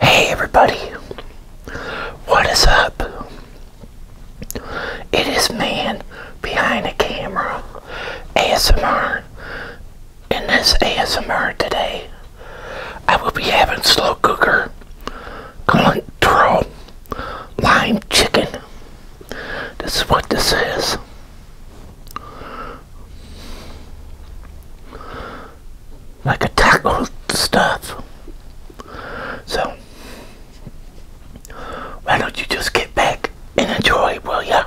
Hey everybody, what is up? It is man behind the camera, ASMR. In this ASMR today, I will be having slow cooker control lime chicken. This is what this is like a taco stuff. So, why don't you just get back and enjoy, will ya?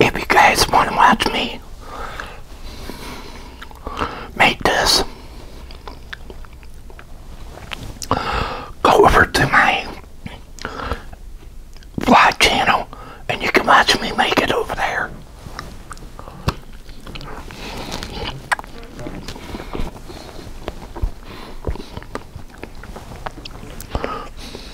If you guys want to watch me Make this go over to my vlog channel and you can watch me make it over there.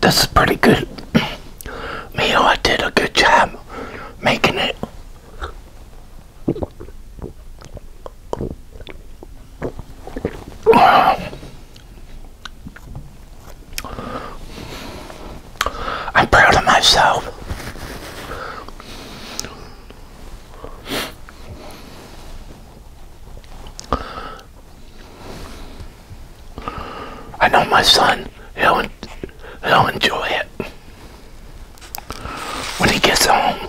This is pretty good. Mio, I did a good job making it. I'm proud of myself. I know my son, he'll, he'll enjoy it when he gets home.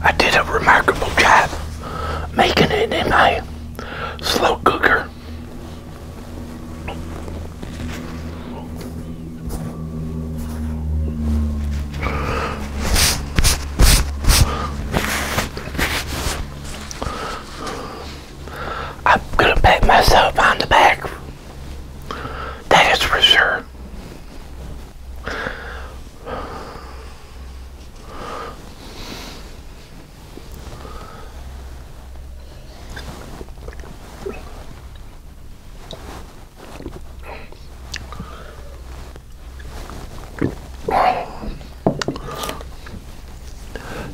I did a remarkable job making it in my slow cooker. I'm gonna pat myself on the back. That is for sure.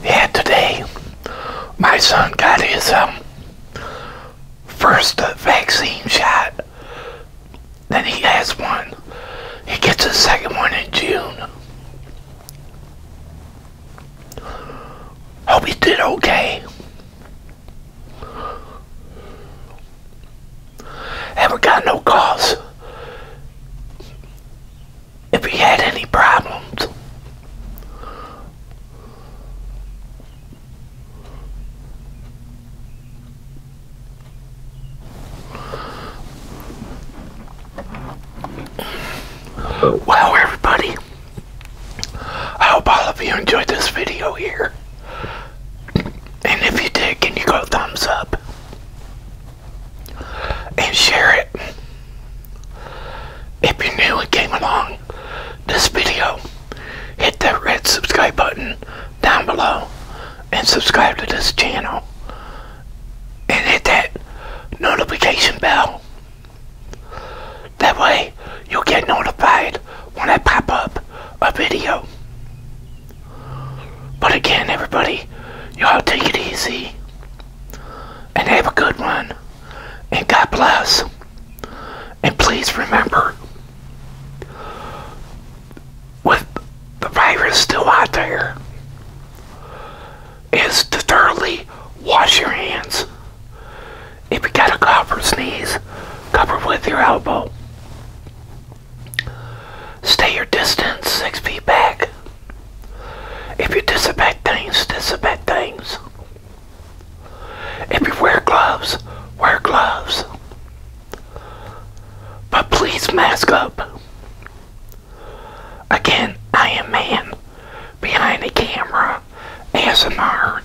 Yeah, today my son got his um, first vaccine shot. Then he has one. He gets his second one in June. Hope he did okay. Haven't got no calls if he had any problems. Well, everybody, I hope all of you enjoyed this video here. And if you did, can you go thumbs up and share it? If you're new and came along this video, hit that red subscribe button down below and subscribe to this channel and hit that notification bell. That way you'll get notified when I pop up a video. But again, everybody, y'all take it easy and have a good one. And God bless. And please remember, with the virus still out there, is to thoroughly wash your hands. If you got a cough or sneeze, cover with your elbow. Stay your distance, six feet back. If you disinfect things, disinfect things. If you wear gloves, wear gloves. But please mask up. Again, I am man behind the camera, ASMR,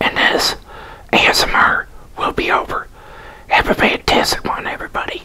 and this ASMR will be over. Have a fantastic one, everybody.